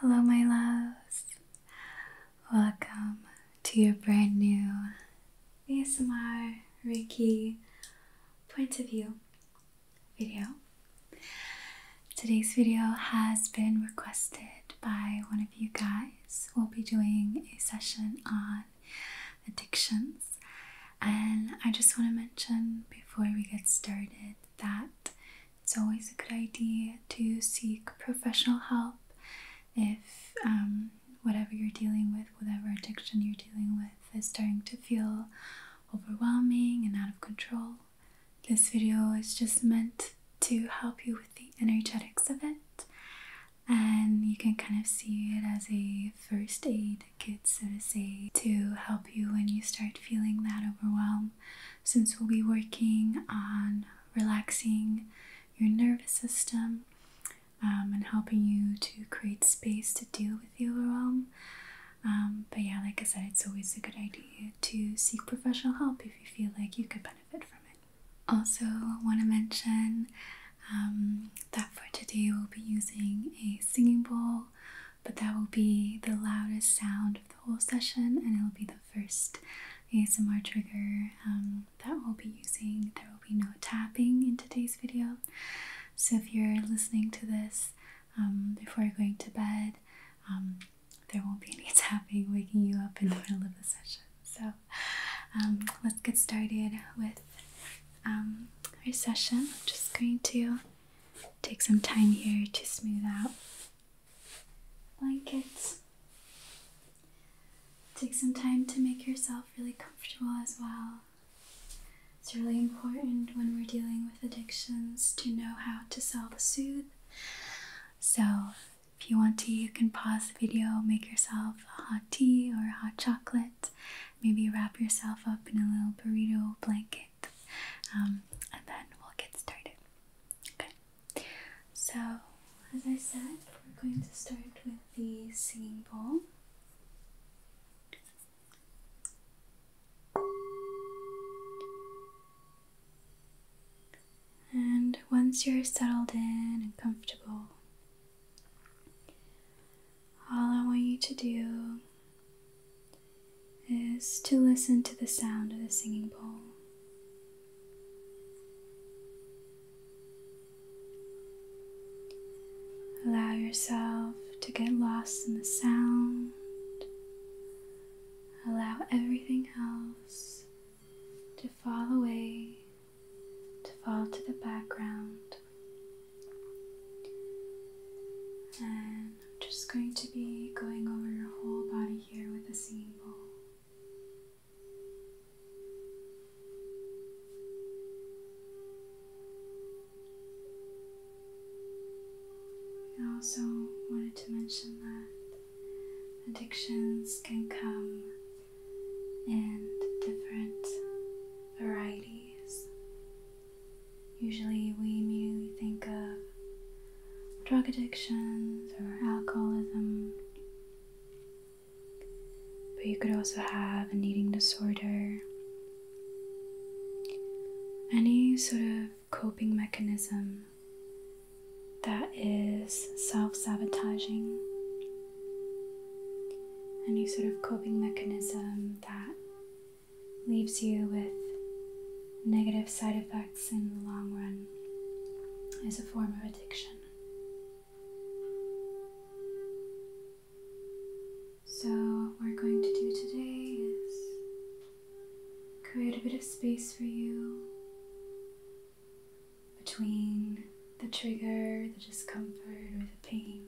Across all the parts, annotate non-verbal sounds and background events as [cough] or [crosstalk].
Hello, my loves. Welcome to your brand new ASMR Ricky point of view video. Today's video has been requested by one of you guys. We'll be doing a session on addictions, and I just want to mention before we get started that it's always a good idea to seek professional help if um, whatever you're dealing with, whatever addiction you're dealing with, is starting to feel overwhelming and out of control. This video is just meant to help you with the energetics of it, and you can kind of see it as a first aid kit, so to say, to help you when you start feeling that overwhelmed since we'll be working on relaxing your nervous system um, and helping you to create space to deal with the overwhelm. Um, but yeah, like I said, it's always a good idea to seek professional help if you feel like you could benefit from it. Also, I want to mention um, that for today we'll be using a singing bowl, but that will be the loudest sound of the whole session and it'll be the first ASMR trigger um, that we'll be using. There will be no tapping in today's video. So if you're listening to this um, before going to bed, um, there won't be [laughs] any tapping waking you up in the middle of the session. So let's get started with our session. I'm just going to take some time here to smooth out blankets. Take some time to make yourself really comfortable as well. It's really important when we're dealing with addictions to know how to self soothe. So, if you want to, you can pause the video, make yourself a hot tea or hot chocolate, maybe wrap yourself up in a little burrito blanket. Um, and then we'll get started. Okay. So, as I said, we're going to start with the singing bowl. And once you're settled in and comfortable, all I want you to do is to listen to the sound of the singing bowl. Allow yourself to get lost in the sound. Allow everything else to fall away, to fall to the background. And I'm just going to be going over your whole body here with a singing bowl. I also wanted to mention that addictions can come in different varieties. Usually, we immediately think of drug addictions or alcoholism. But you could also have a eating disorder. Any sort of coping mechanism that is self sabotaging. Any sort of coping mechanism that leaves you with negative side effects in the long run is a form of addiction. So, what we're going to do today is create a bit of space for you between the trigger, the discomfort, or the pain,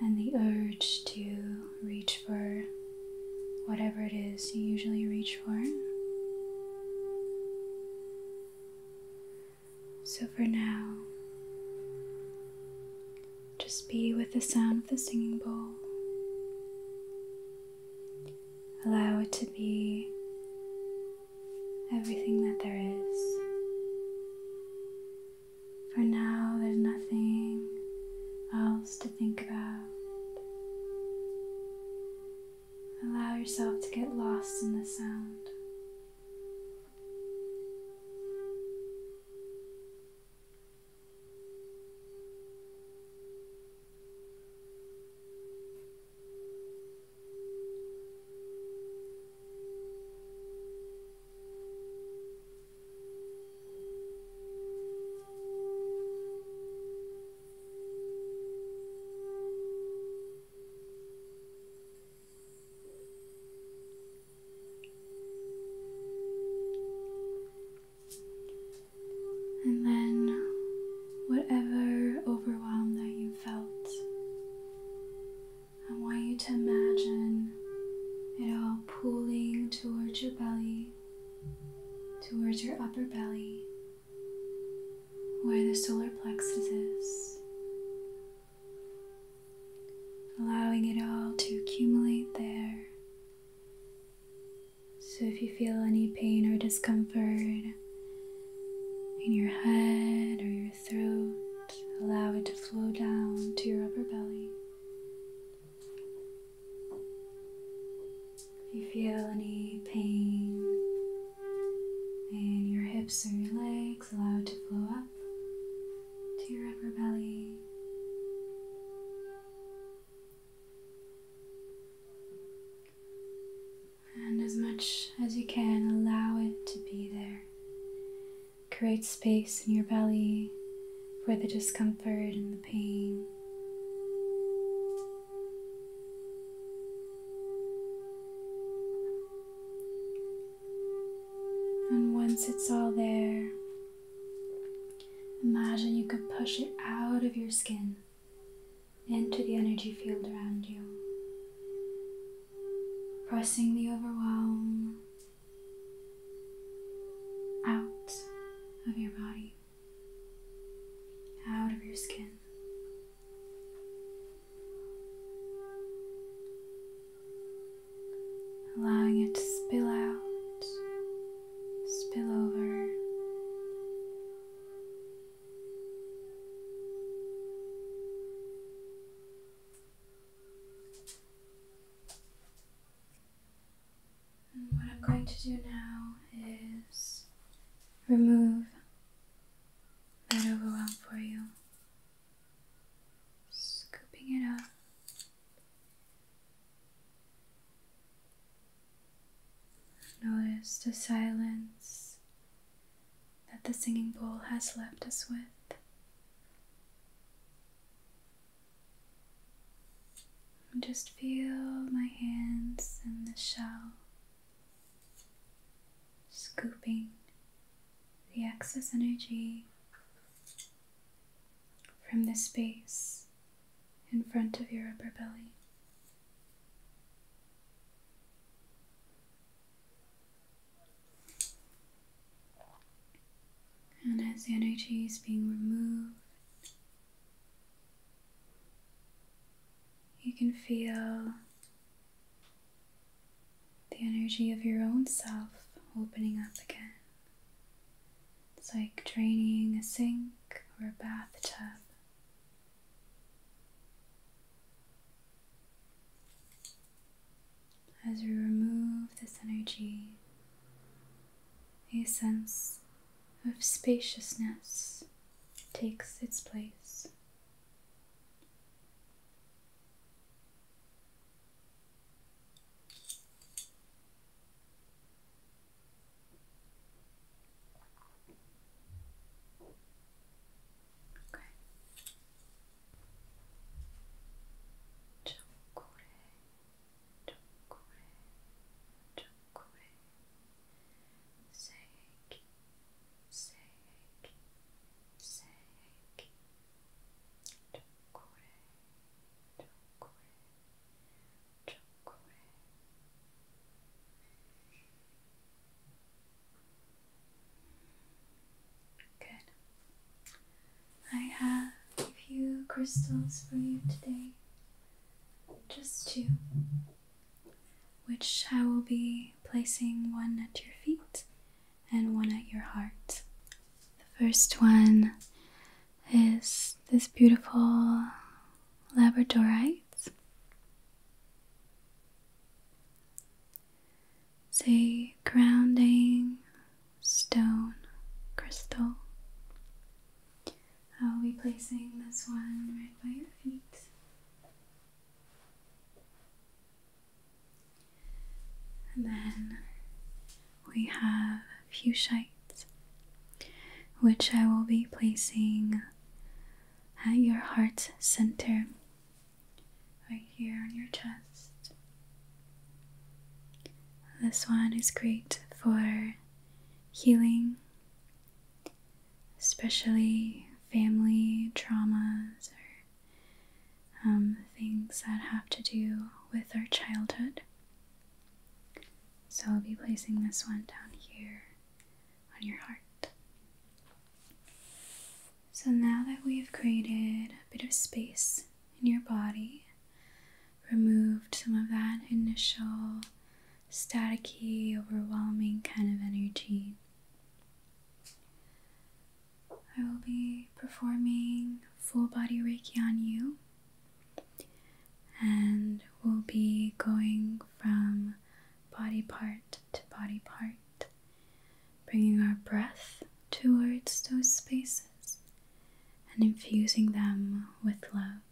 and the urge to reach for whatever it is you usually reach for. So for now, just be with the sound of the singing bowl. Allow it to be everything that there is. For now, there's nothing else to think about. Allow yourself to get lost in the sound. And then, whatever overwhelm that you felt, I want you to imagine it all pooling towards your belly towards your upper belly where the solar plexus is, allowing it all to accumulate there. So if you feel any pain or discomfort, in your head or your throat. Allow it to flow down to your upper belly if you feel any pain in your hips or your legs, allow it to flow up to your upper belly. And as much as you can, allow it to be there. Create space in your belly for the discomfort and the pain. And once it's all there, imagine you could push it out of your skin into the energy field around you, pressing the overwhelm out of your body out of your skin. Allowing it to spill out, spill over. And what I'm going to do now is remove that overwhelm for you. Scooping it up. Notice the silence that the singing bowl has left us with. Just feel my hands in the shell, scooping the excess energy from the space in front of your upper belly. And as the energy is being removed you can feel the energy of your own self opening up again. It's like draining a sink or a bathtub. As we remove this energy, a sense of spaciousness takes its place. Tokwe, Tokwe, Seki, Seki, Seki, Tokwe, Tokwe, Tokwe. Good. I have a few crystals for you today just two, which I will be placing one at your feet and one at your heart. The first one is this beautiful labradorite. It's a grounding stone crystal. I'll be placing this one right by your feet. And then we have fuchsites, which I will be placing at your heart's center, right here on your chest. This one is great for healing especially family traumas or um, things that have to do with our childhood. So I'll be placing this one down here on your heart. So now that we've created a bit of space in your body, removed some of that initial staticky, overwhelming kind of energy. I will be performing full body Reiki on you, and we'll be going from body part to body part, bringing our breath towards those spaces and infusing them with love.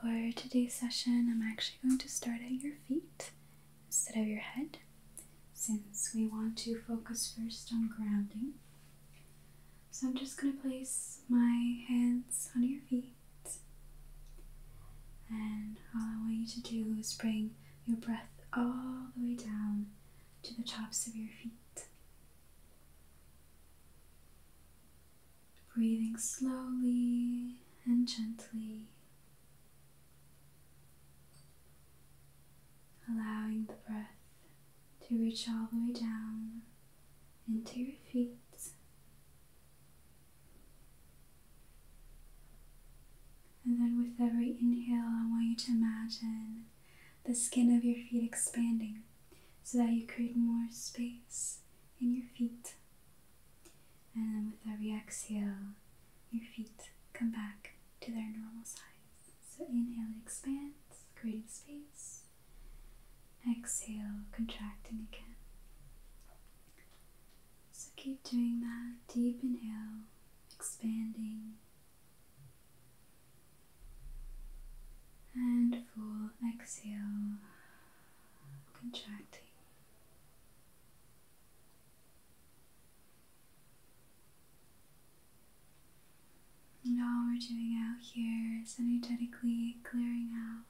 For today's session, I'm actually going to start at your feet instead of your head, since we want to focus first on grounding. So I'm just going to place my hands on your feet, and all I want you to do is bring your breath all the way down to the tops of your feet breathing slowly and gently, allowing the breath to reach all the way down into your feet. And then, with every inhale, I want you to imagine the skin of your feet expanding so that you create more space in your feet. And then with every exhale, your feet come back to their normal size. So inhale, it expands, creating space. Exhale, contracting again. So keep doing that. Deep inhale, expanding. And full exhale contracting. And all we're doing out here is energetically clearing out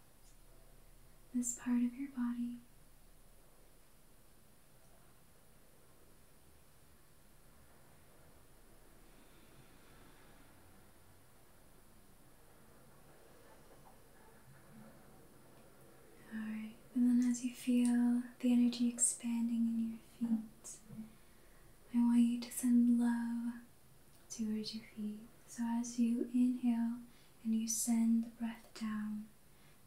this part of your body. Alright, and then as you feel the energy expanding in your feet, I want you to send love towards your feet. So as you inhale and you send the breath down,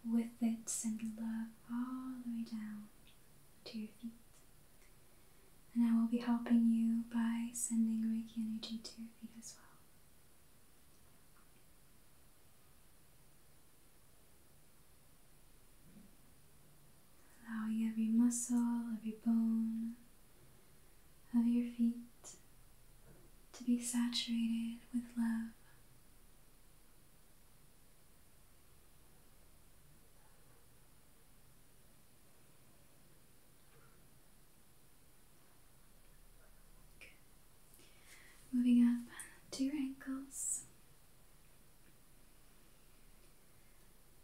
with it send love all the way down to your feet. And I will be helping you by sending Reiki energy to your feet as well. Allowing every muscle, every bone of your feet to be saturated with love. Moving up to your ankles.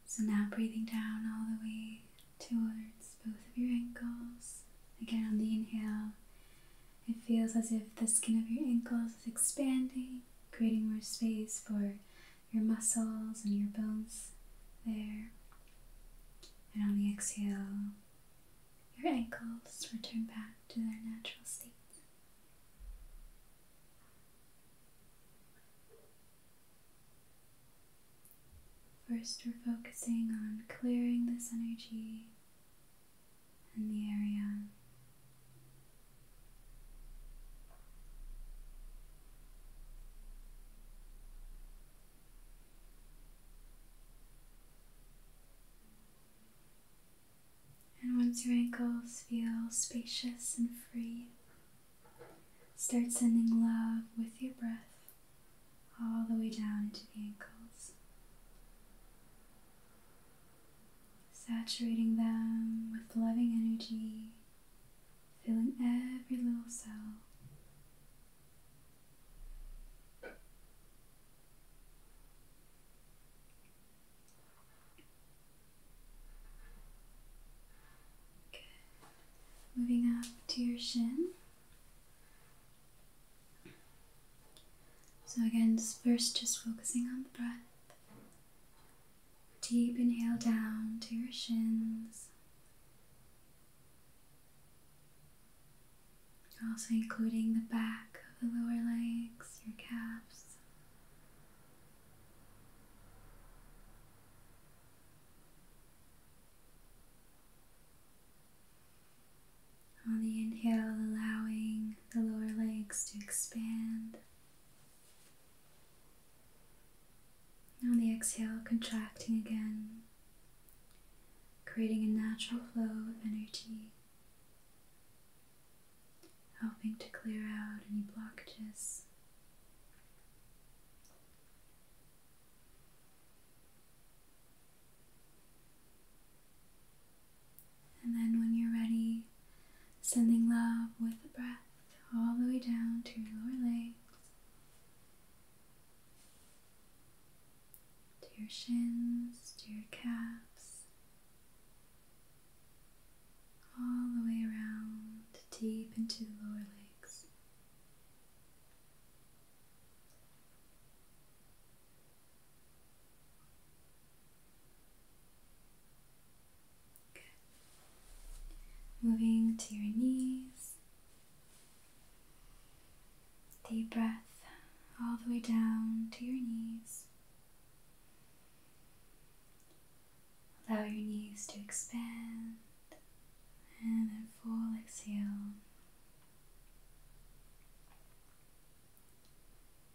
So now breathing down all the way towards both of your ankles. Again, on the inhale, it feels as if the skin of your ankles is expanding, creating more space for your muscles and your bones there. And on the exhale, your ankles return back to their natural state. First, we're focusing on clearing this energy in the area. And once your ankles feel spacious and free, start sending love with your breath all the way down into the ankles, saturating them with loving energy, filling every little cell. Moving up to your shin. So again, first just focusing on the breath. Deep inhale down to your shins. Also, including the back of the lower legs, your calves. On the inhale, allowing the lower legs to expand. On the exhale, contracting again, creating a natural flow of energy, helping to clear out any blockages. And then, when you're ready, sending love with the breath all the way down to your lower legs to your shins, to your calves, all the way around, deep into the lower legs. Good. Moving to your knees, Deep breath all the way down to your knees. Allow your knees to expand and then full exhale.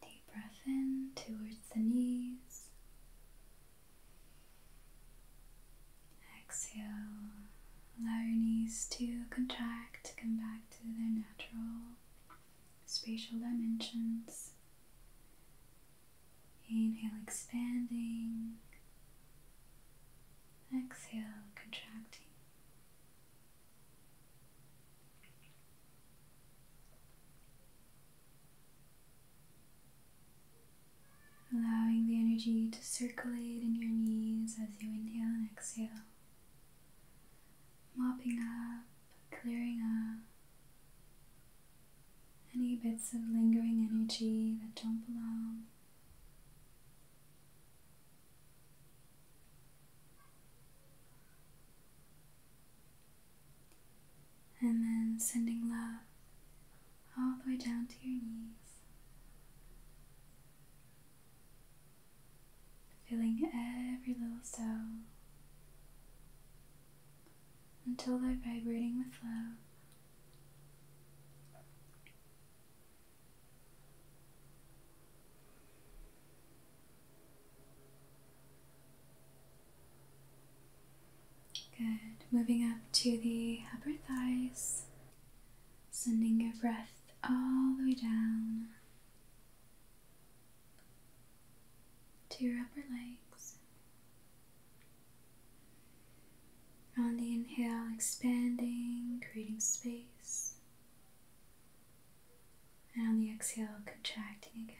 Deep breath in towards the knees. Exhale, allow your knees to contract, to come back to their natural spatial dimensions. Inhale, expanding. Exhale, contracting allowing the energy to circulate in your knees as you inhale and exhale, mopping up, clearing up any bits of lingering energy that don't belong. And then sending love all the way down to your knees. Feeling every little cell until they're vibrating with love. Good. Moving up to the upper thighs. Sending your breath all the way down to your upper legs. On the inhale, expanding, creating space. And on the exhale, contracting again.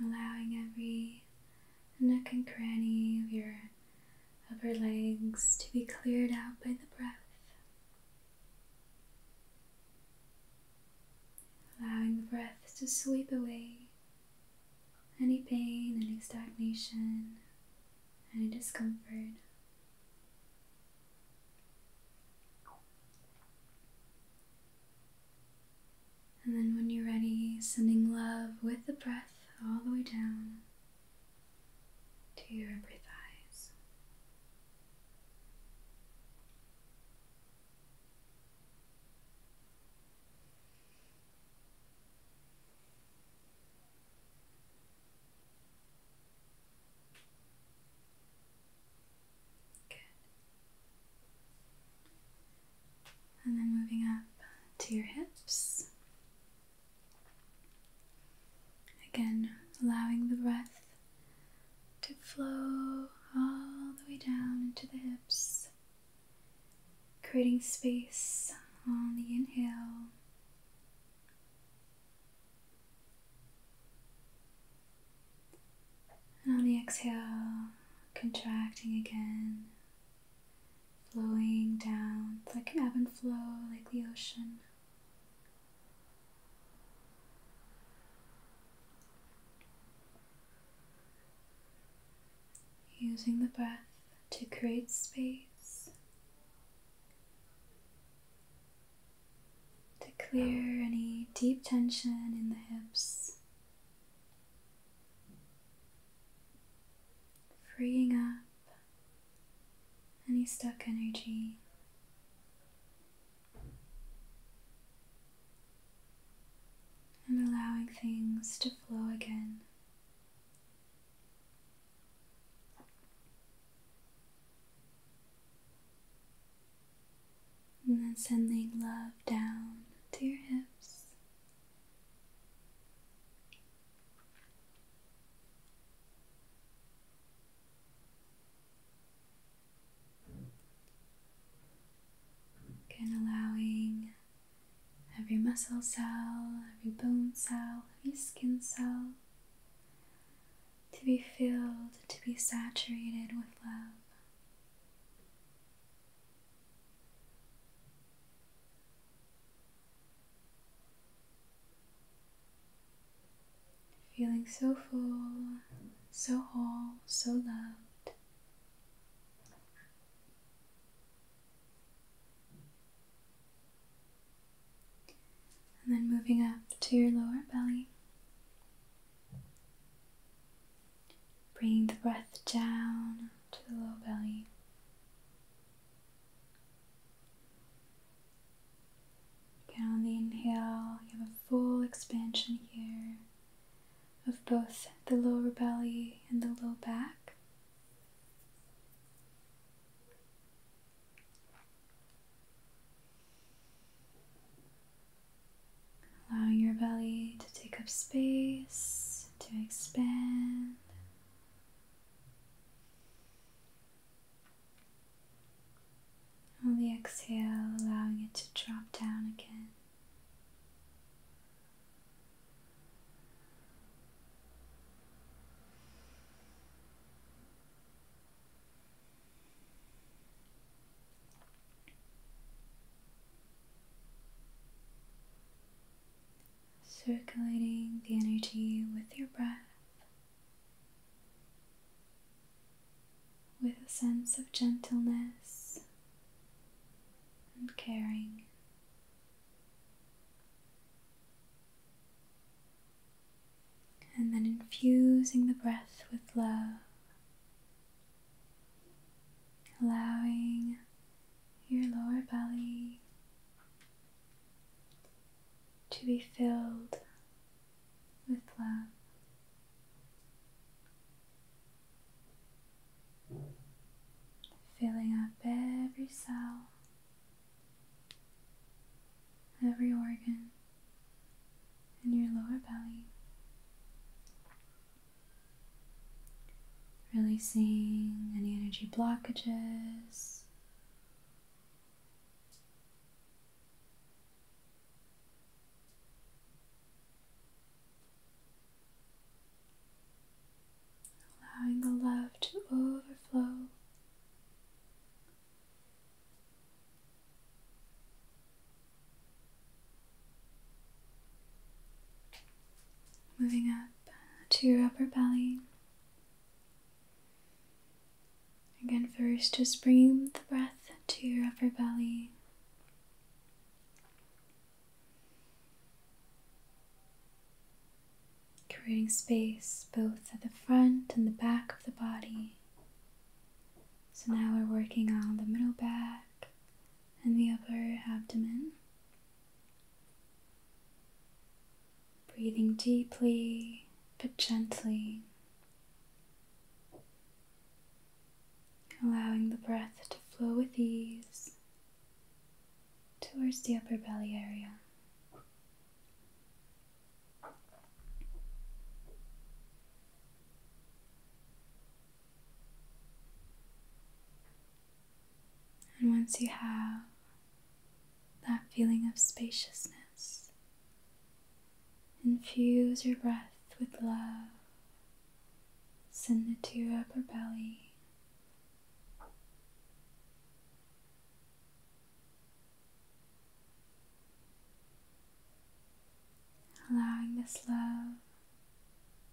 Allowing every nook and cranny of your upper legs to be cleared out by the breath. Allowing the breath to sweep away any pain, any stagnation, any discomfort. And then, when you're ready, sending love with the breath all the way down to your upper thighs. And then moving up to your hips. Again, allowing the breath to flow all the way down into the hips, creating space on the inhale and on the exhale, contracting again, flowing down like an ebb and flow, like the ocean. Using the breath to create space to clear any deep tension in the hips, freeing up any stuck energy. And allowing things to flow again. And then sending love down to your hips. and allowing every muscle cell, every bone cell, every skin cell to be filled, to be saturated with love. Feeling so full, so whole, so loved. And then moving up to your lower belly. Bringing the breath down to the low belly. Again, on the inhale, you have a full expansion here of both the lower belly and the low back. Allowing your belly to take up space, to expand. On the exhale, allowing it to drop down again. Circulating the energy with your breath, with a sense of gentleness and caring and then infusing the breath with love, allowing your lower belly to be filled with love. Filling up every cell every organ in your lower belly. Releasing any energy blockages. Allowing the love to overflow Moving up to your upper belly. Again, first, just bringing the breath to your upper belly. Creating space both at the front and the back of the body. So now we're working on the middle back and the upper abdomen. Breathing deeply but gently, allowing the breath to flow with ease towards the upper belly area. And once you have that feeling of spaciousness, infuse your breath with love. Send it to your upper belly allowing this love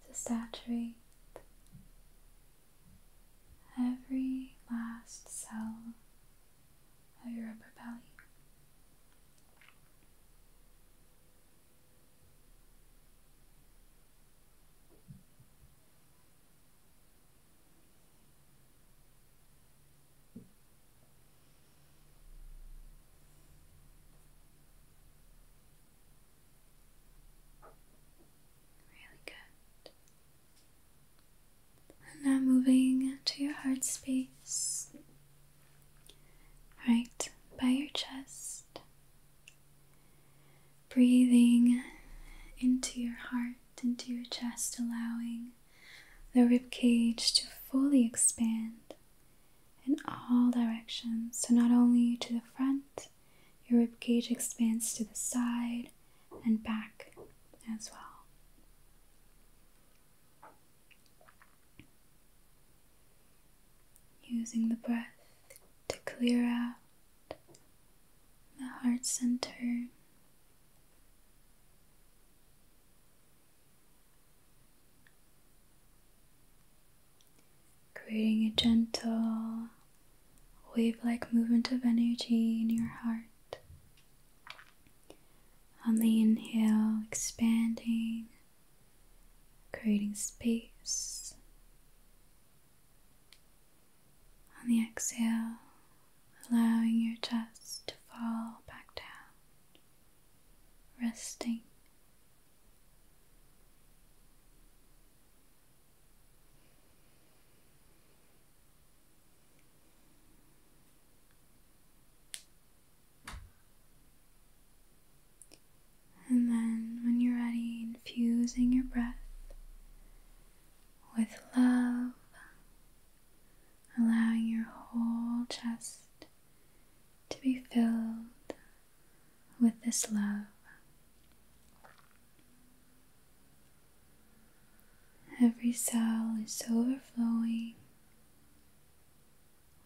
to saturate every last cell of your upper belly. Really good. now moving to your heart space, right by your chest. Breathing into your heart, into your chest, allowing the rib cage to fully expand in all directions. So, not only to the front, your rib cage expands to the side and back as well. Using the breath to clear out the heart center creating a gentle wave like movement of energy in your heart. On the inhale, expanding, creating space. On the exhale, allowing your chest to fall back down resting. And then, when you're ready, infusing your breath with love allowing your whole chest to be filled with this love. Every cell is overflowing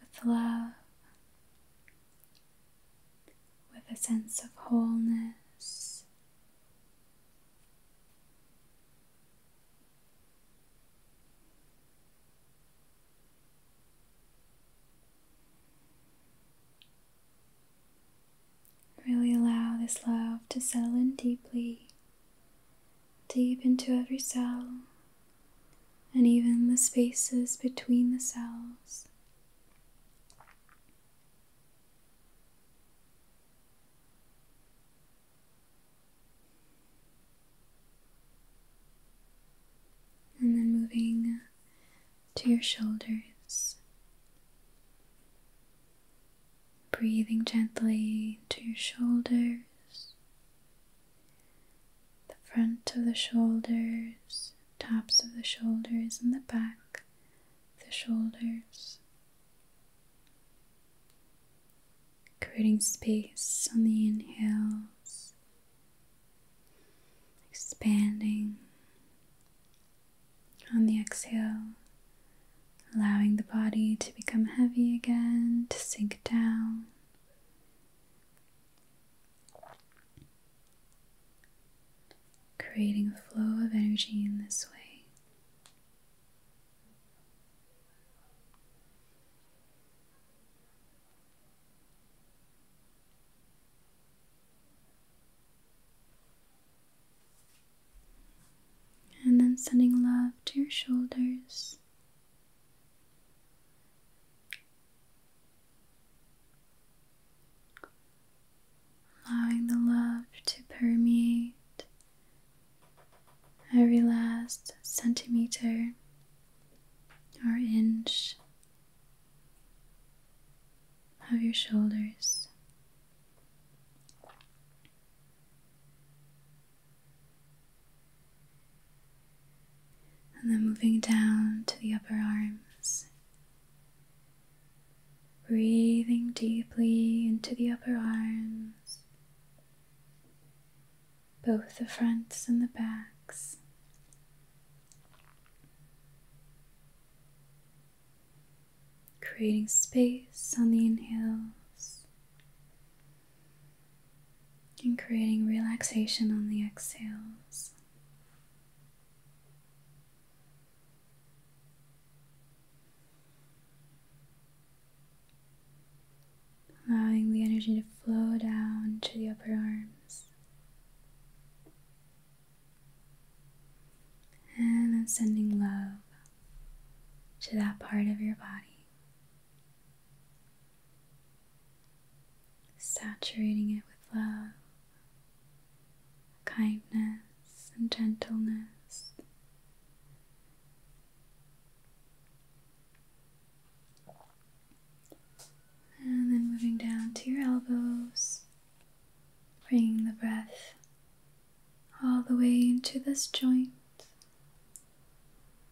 with love, with a sense of wholeness. Really allow this love to settle in deeply, deep into every cell, and even the spaces between the cells. And then moving to your shoulders, breathing gently to your shoulders, the front of the shoulders, tops of the shoulders, and the back of the shoulders creating space on the inhales, expanding on the exhale, allowing the body to become heavy again, to sink down. Creating a flow of energy in this way. And then sending love to your shoulders. Allowing the love to permeate every last centimeter or inch of your shoulders. And then moving down to the upper arms, breathing deeply into the upper arms both the fronts and the backs. Creating space on the inhales and creating relaxation on the exhales allowing the energy to flow down to the upper arms. And I'm sending love to that part of your body, saturating it with love, kindness, and gentleness. And then moving down to your elbows, bringing the breath all the way into this joint,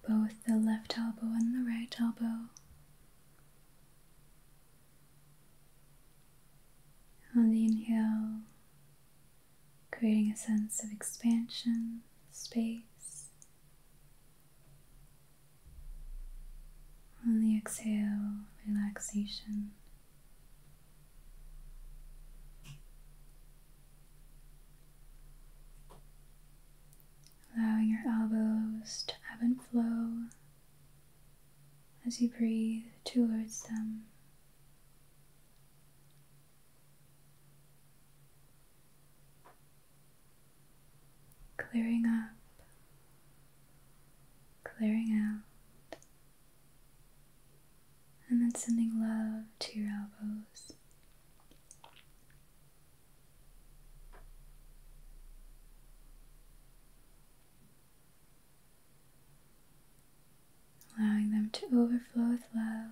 both the left elbow and the right elbow. On the inhale, creating a sense of expansion, space. On the exhale, relaxation. Allowing your elbows to ebb and flow as you breathe towards them clearing up, clearing out, and then sending love to your elbows. Allowing them to overflow with love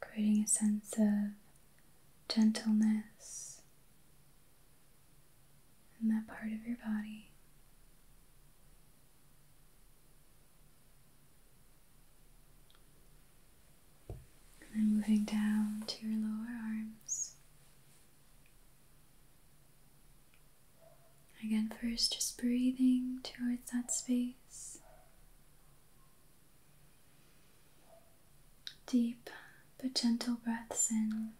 creating a sense of gentleness in that part of your body. And then moving down to your lower arms. Again, first just breathing towards that space. Deep but gentle breaths in.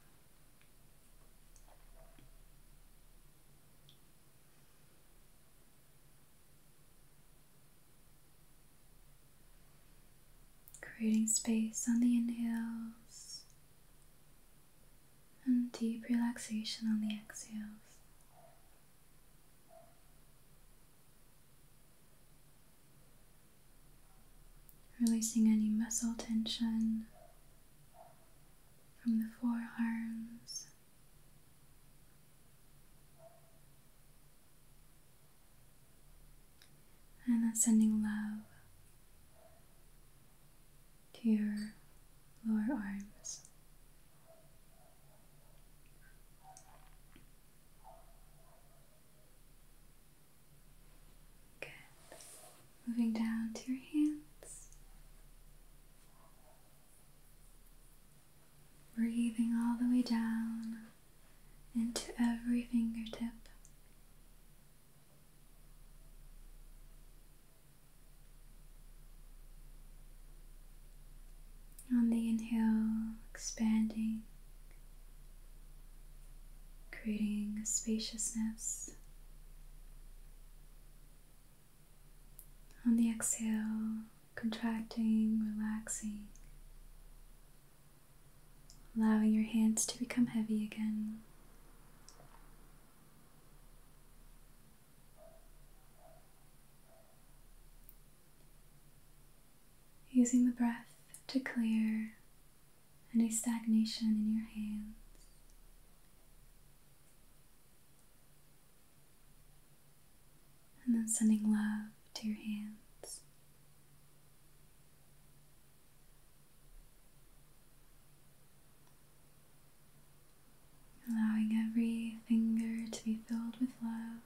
Creating space on the inhales and deep relaxation on the exhales. Releasing any muscle tension from the forearms. And then sending love to your lower arms. Moving down to your hands. Breathing all the way down into every fingertip. On the inhale, expanding, creating spaciousness. On the exhale, contracting, relaxing, allowing your hands to become heavy again. Using the breath to clear any stagnation in your hands. And then sending love to your hands allowing every finger to be filled with love,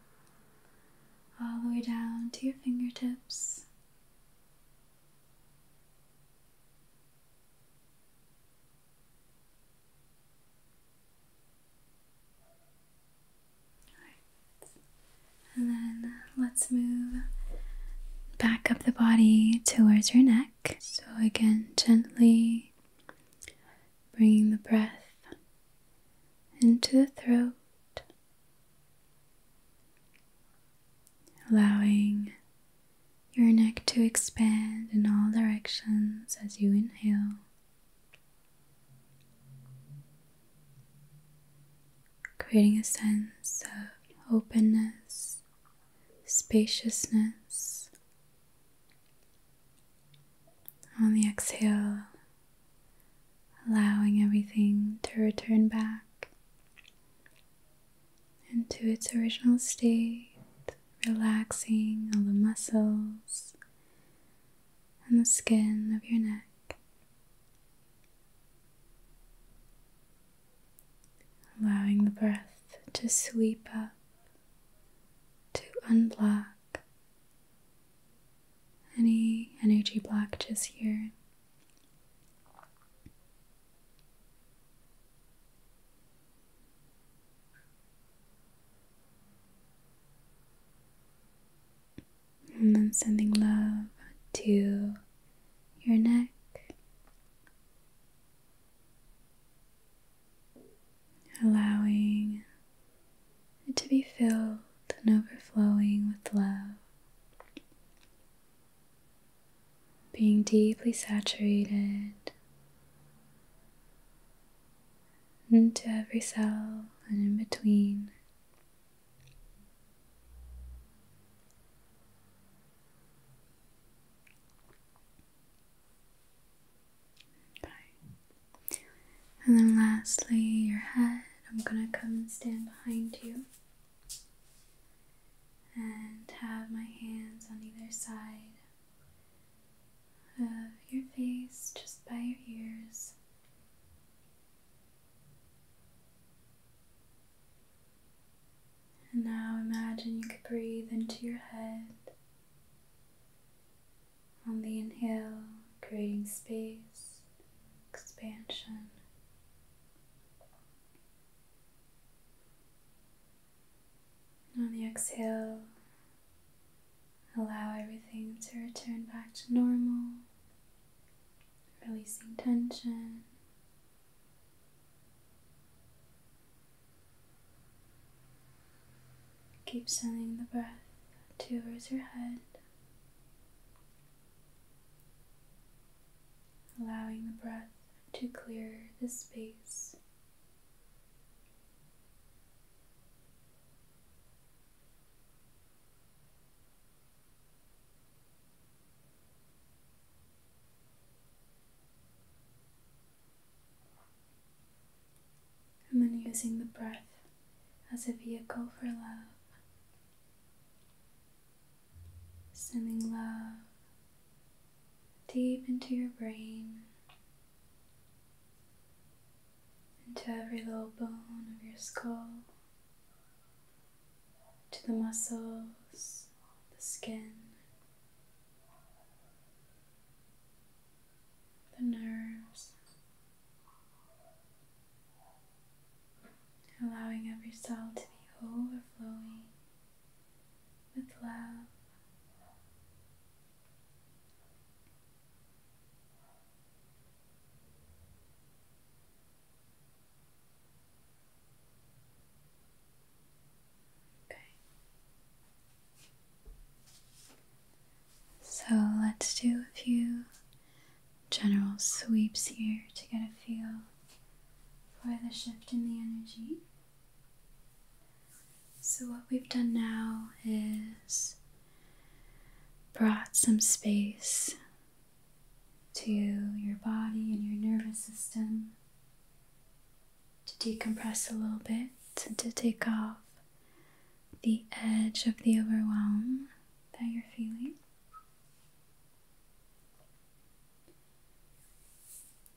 all the way down to your fingertips. And then let's move back up the body towards your neck. So, again, gently bringing the breath into the throat, allowing your neck to expand in all directions as you inhale. Creating a sense of openness, spaciousness, on the exhale, allowing everything to return back into its original state, relaxing all the muscles and the skin of your neck. Allowing the breath to sweep up, to unblock any energy blockages here. And then sending love to your neck, allowing it to be filled and overflowing with love, being deeply saturated into every cell and in between. And then lastly, your head. I'm gonna come and stand behind you and have my hands on either side of your face, just by your ears. And now imagine you could breathe into your head on the inhale, creating space, expansion. On the exhale, allow everything to return back to normal, releasing tension. Keep sending the breath towards your head, allowing the breath to clear the space and then using the breath as a vehicle for love, sending love deep into your brain, into every little bone of your skull, to the muscles, the skin the nerves, allowing every cell to be overflowing with love. Okay. So let's do a few general sweeps here to get a feel for the shift in the energy. So, what we've done now is brought some space to your body and your nervous system to decompress a little bit and to take off the edge of the overwhelm that you're feeling.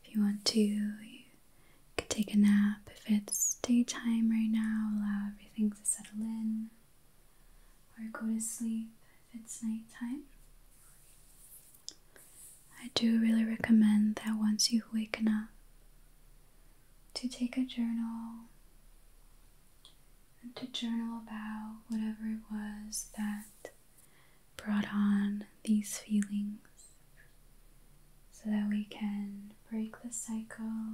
If you want to, you could take a nap. If it's daytime right now, allow everything to settle in or go to sleep if it's nighttime. I do really recommend that once you've up, to take a journal and to journal about whatever it was that brought on these feelings so that we can break the cycle,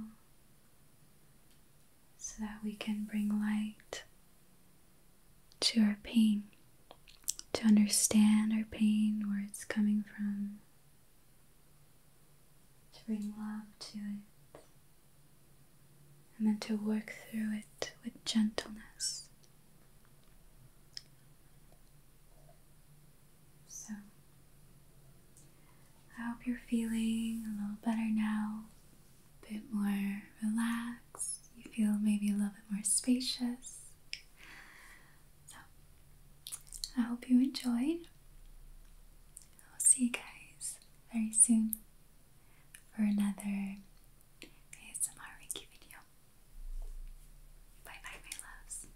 so that we can bring light to our pain, to understand our pain, where it's coming from to bring love to it, and then to work through it with gentleness. So, I hope you're feeling a little better now, a bit more relaxed. You feel maybe a little bit more spacious. I hope you enjoyed. I'll see you guys very soon for another ASMR Reiki video. Bye bye, my loves.